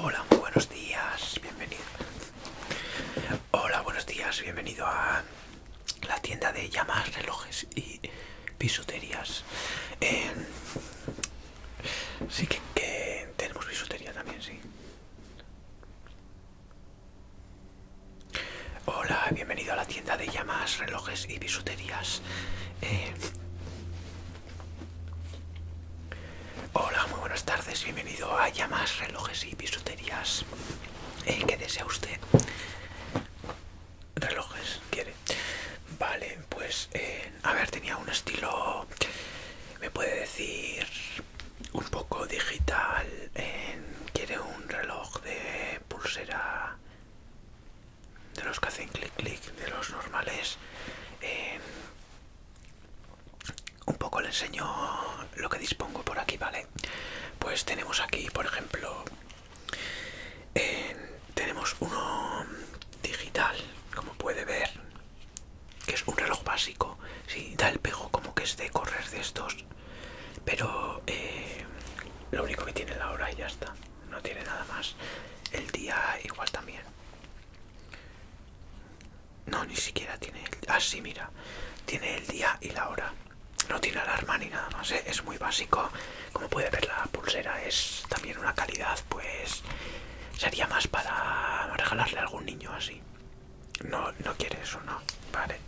Hola, buenos días, bienvenido. Hola, buenos días, bienvenido a la tienda de llamas, relojes y bisuterías. Eh, Sí, que, tenemos bisutería también, sí. Hola, bienvenido a la tienda de llamas, relojes y bisuterías. Eh, hola, muy buenas tardes, bienvenido a llamas, relojes y bisuterías. Eh, ¿Qué desea usted? Relojes, quiere. Vale, pues eh, a ver, tenía un estilo, me puede decir, un poco digital. quiere un reloj de pulsera de los que hacen clic clic, de los normales. Em, un poco le enseño lo que dispongo por aquí, ¿vale? Pues tenemos aquí, por ejemplo, tenemos uno digital, como puede ver, que es un reloj básico, sí, da el pego como que es de correr de estos, pero eh, lo único que tiene la hora y ya está, no tiene nada más, el día igual también. No, ni siquiera tiene así ah, mira. Tiene el día y la hora. No tiene alarma ni nada más, ¿eh? Es muy básico. Como puede ver, la pulsera es también una calidad, pues... Sería más para regalarle a algún niño así. No, no quiere eso, no. Vale.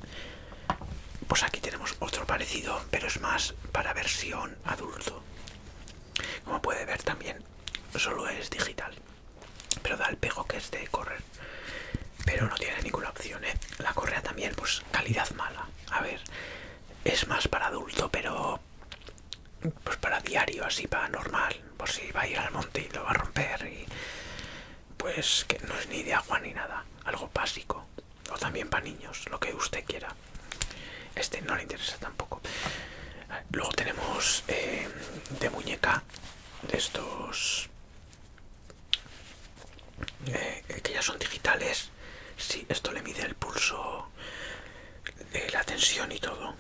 Pues aquí tenemos otro parecido, pero es más para versión adulto. Como puede ver también, solo es digital. Pero da el pego que es de correr. Pero no tiene ninguna opción, ¿eh? La correa también, pues calidad mala. A ver, es más para adulto, pero pues para diario, así para normal, por si va a ir al monte y lo va a romper y pues que no es ni de agua ni nada, algo básico o también para niños, lo que usted quiera. Este no le interesa tampoco. Luego tenemos eh, de muñeca de estos eh, que ya son digitales. si esto le mide el pulso, de eh, la tensión y todo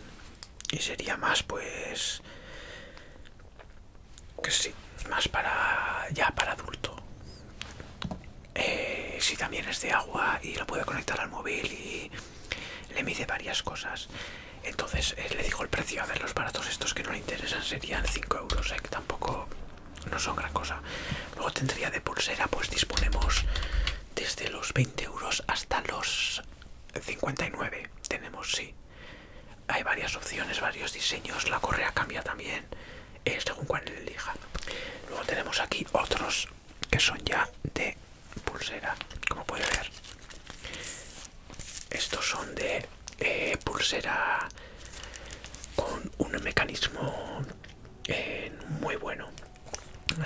y sería más pues que sí más para ya para adulto eh, si también es de agua y lo puede conectar al móvil y le mide varias cosas entonces eh, le dijo el precio a ver los baratos estos que no le interesan serían 5 euros eh, que tampoco no son gran cosa luego tendría de pulsera pues disponemos desde los 20 euros hasta los 59 tenemos sí hay varias opciones varios diseños la correa cambia también eh, según cuál elija luego tenemos aquí otros que son ya de pulsera como puede ver estos son de eh, pulsera con un mecanismo eh, muy bueno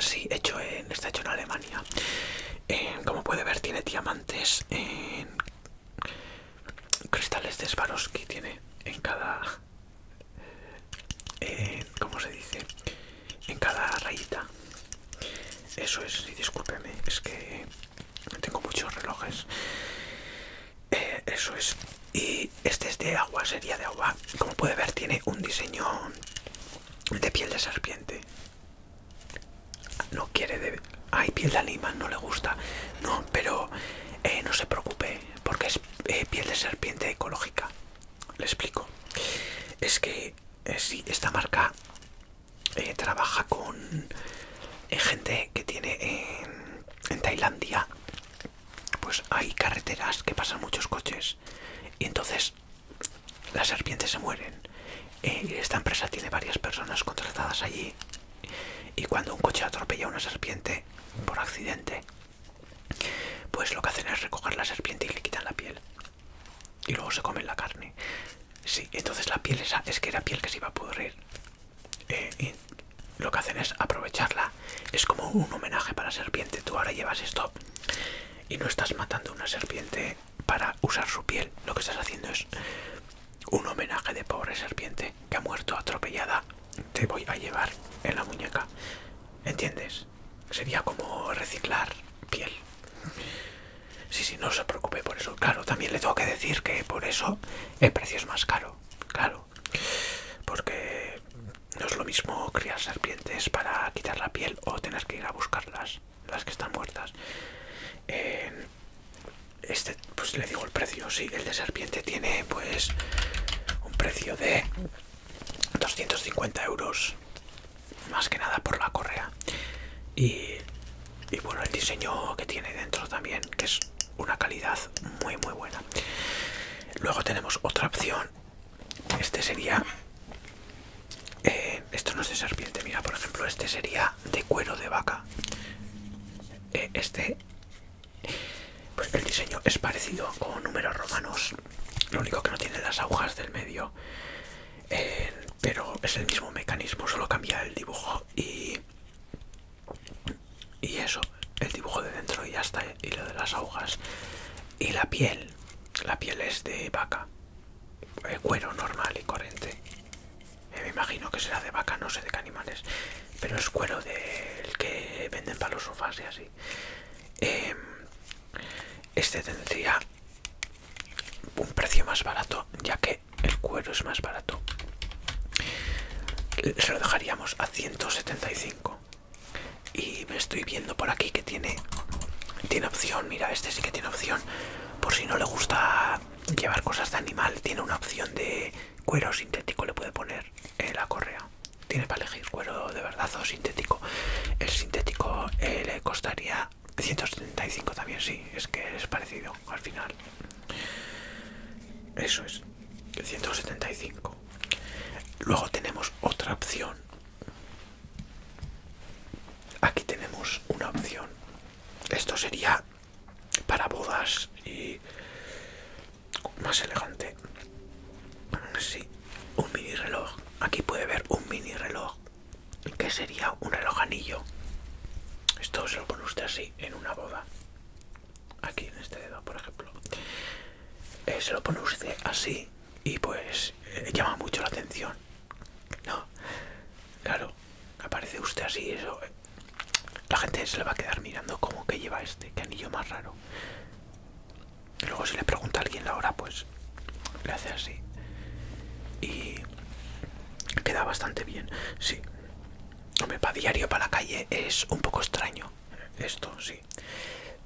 Sí, hecho en, está hecho en Alemania. Eh, como puede ver, tiene diamantes en cristales de que Tiene en cada. como ¿Cómo se dice? En cada rayita. Eso es, y discúlpeme, es que tengo muchos relojes. Eh, eso es. Y este es de agua, sería de agua. Como puede ver, tiene un diseño de piel de serpiente. No quiere de... hay piel de lima no le gusta. No, pero eh, no se preocupe, porque es eh, piel de serpiente ecológica. Le explico. Es que eh, si esta marca trabaja con gente que tiene en Tailandia, pues hay carreteras que pasan muchos coches. Y entonces pues, las serpientes se mueren. y eh, esta empresa tiene varias personas contratadas allí. Y cuando un coche atropella a una serpiente por accidente, pues lo que hacen es recoger la serpiente y le quitan la piel. Y luego se comen la carne. Sí, entonces la piel esa es que era piel que se iba a pudrir. Eh, lo que hacen es aprovecharla. Es como un homenaje para la serpiente. Tú ahora llevas esto y no estás matando una serpiente para usar su piel. Lo que estás haciendo es un homenaje de pobre serpiente que ha muerto atropellada. Te voy a llevar en la muñeca. ¿Entiendes? Sería como reciclar piel. Sí, sí, no se preocupe por eso. Claro, también le tengo que decir que por eso el precio es más caro. Claro. Porque no es lo mismo criar serpientes para quitar la piel o tener que ir a buscarlas, las que están muertas. este, pues le digo el precio, sí, el de serpiente tiene pues un precio de 250 euros, más que nada por la correa. Y, y bueno, el diseño que tiene dentro también, que es una calidad muy muy buena. Luego tenemos otra opción este sería... Eh, esto no es de serpiente, mira, por ejemplo, este sería de cuero de vaca. Eh, este... Pues el diseño es parecido con números romanos, lo único que no tiene las agujas del medio. Eh, pero es el mismo mecanismo, solo cambia el dibujo y... Y eso, el dibujo de dentro y ya está, y lo de las agujas. Y la piel, la piel es de vaca. cuero normal y corriente. Eh, me imagino que será de vaca, no sé de qué animales. Pero es cuero del que venden para los sofás y así. Em, este tendría un precio más barato, ya que el cuero es más barato. Se lo dejaríamos a 175. Y me estoy viendo por aquí que tiene tiene opción, mira, este sí que tiene opción. Por si no le gusta llevar cosas de animal, tiene una opción de cuero sintético, le puede poner la correa. Tiene para elegir cuero de verdad o sintético. El sintético eh, le costaría 175 también, sí, es que es parecido al final. Eso es, 175. Luego tenemos otra opción Aquí tenemos una opción. Esto sería para bodas y más elegante. un mini reloj. Aquí puede ver un mini reloj que sería un reloj anillo. Esto se lo pone usted así en una boda. Aquí en este dedo, por ejemplo. Eh, se lo pone usted así y pues eh, llama mucho la atención no claro aparece usted así eso eh, la gente se le va a quedar mirando como que lleva este que anillo más raro luego si le pregunta a alguien la hora pues le hace así y queda bastante bien sí hombre para diario para la calle es un poco extraño esto sí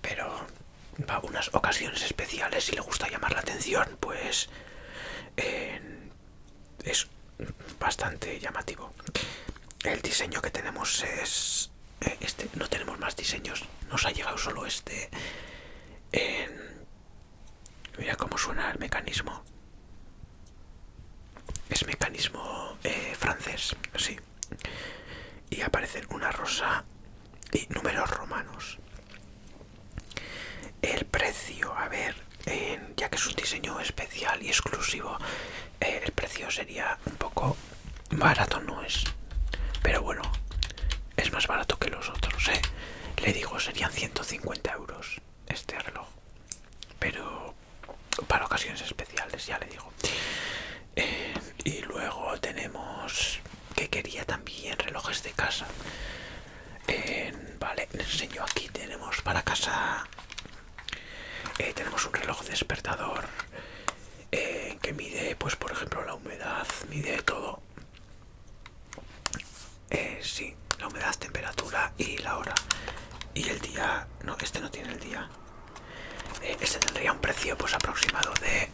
pero para unas ocasiones especiales, y le gusta llamar la atención, pues es bastante llamativo. El diseño que tenemos es eh, este, no tenemos más diseños, nos ha llegado solo este. mira cómo suena el mecanismo. Es mecanismo eh, francés, sí y aparecen una rosa y números romanos. El precio, a ver, ya que es un diseño especial y exclusivo, eh, el precio sería un poco barato, no es. Pero bueno, es más barato que los otros, ¿eh? Le digo, serían 150 euros este reloj. Pero para ocasiones especiales, ya le digo. Eh, y luego tenemos que quería también relojes de casa vale enseño aquí tenemos para casa eh, tenemos un reloj despertador eh, que mide pues por ejemplo la humedad mide todo sí la humedad temperatura y la hora y el día no este no tiene el día eh, este tendría un precio pues aproximado de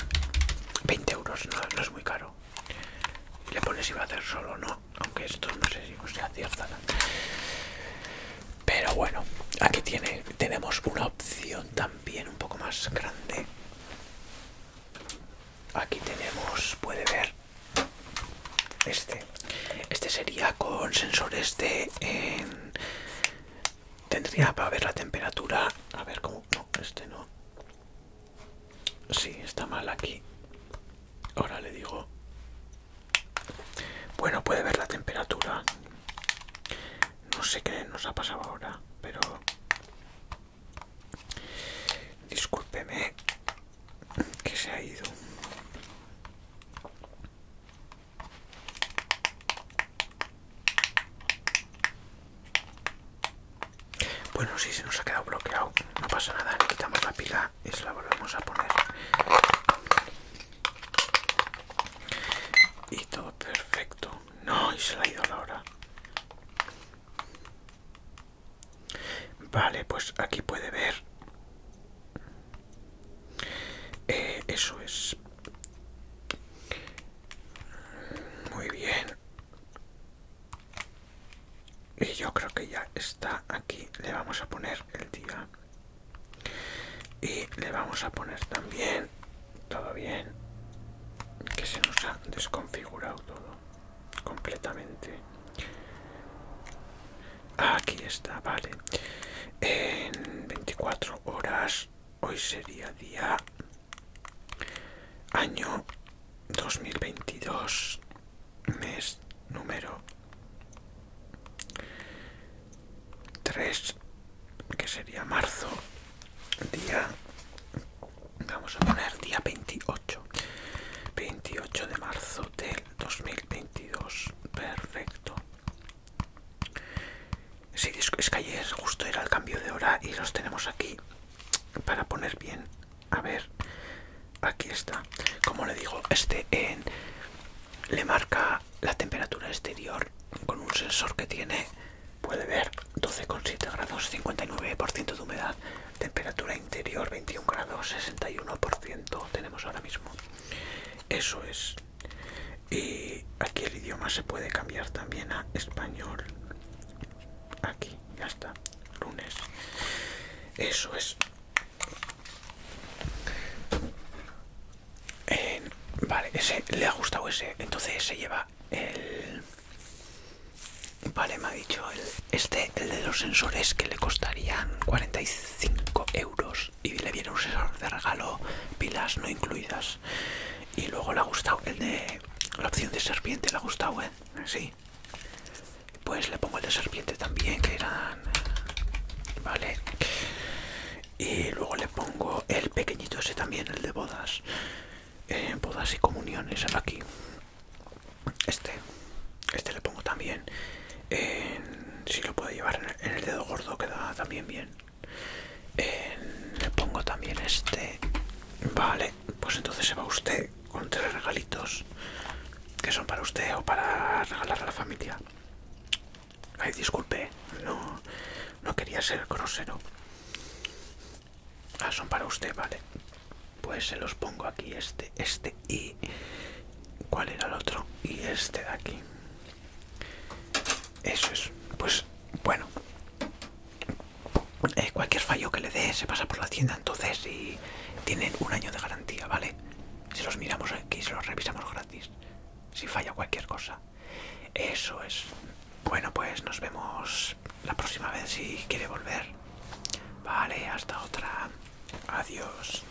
20 euros, no, es muy caro. Le pones va a hacer solo, ¿no? Aunque esto no sé si se acierta. Pero bueno, aquí tiene, tenemos una opción también un poco más grande. Aquí tenemos, puede ver, este. Este sería con sensores de... Eh, Tendría para ver la temperatura. A ver cómo. No, este no. Sí, está mal aquí. Ahora le digo. Bueno, puede ver la temperatura. No sé qué nos ha pasado ahora, pero. Discúlpeme que se ha ido. Bueno, si se nos ha quedado bloqueado, no pasa nada, le quitamos la pila y se la volvemos a poner. Y todo perfecto. No, y se la ha ido la hora. Vale, pues aquí puede ver eh, eso es muy bien y yo creo que ya está aquí le vamos a poner el día y le vamos a poner también todo bien que se nos ha desconfigurado todo completamente aquí está vale en 24 horas hoy sería día año 2022 mes número 3 que sería marzo día vamos a poner día 28 28 de marzo del 2022 perfecto si, es que ayer justo era el cambio de hora y los tenemos aquí para poner bien. A ver, aquí está. Como le digo, este en, le marca la temperatura exterior con un sensor que tiene, puede ver 12,7 grados, 59% de humedad, temperatura interior 21 grados, 61% tenemos ahora mismo. Eso es y aquí el idioma se puede cambiar también a español aquí ya está lunes eso es vale ese le ha gustado ese entonces se lleva el vale me ha dicho el, este el de los sensores que le costarían 45 euros y le viene un sensor de regalo pilas no incluidas y luego le ha gustado el de la opción de serpiente le ha gustado ¿eh? sí pues le pongo el de serpiente también que eran vale y luego le pongo el pequeñito ese también el de bodas eh, bodas y comuniones el aquí este este le pongo también si lo puedo llevar en el dedo gordo queda también bien. le pongo también este. Vale, pues entonces se va usted con tres regalitos que son para usted o para regalar a la familia. Ay, disculpe, no, no quería ser grosero. Ah, son para usted, vale. Pues se los pongo aquí, este, este y... ¿Cuál era el otro? Y este de aquí. Eso es, pues bueno. Eh, cualquier fallo que le dé se pasa por la tienda entonces y tienen un año de garantía, ¿vale? Se los miramos aquí y se los revisamos gratis. Si falla cualquier cosa. Eso es. Bueno, pues nos vemos la próxima vez si quiere volver. Vale, hasta otra. Adiós.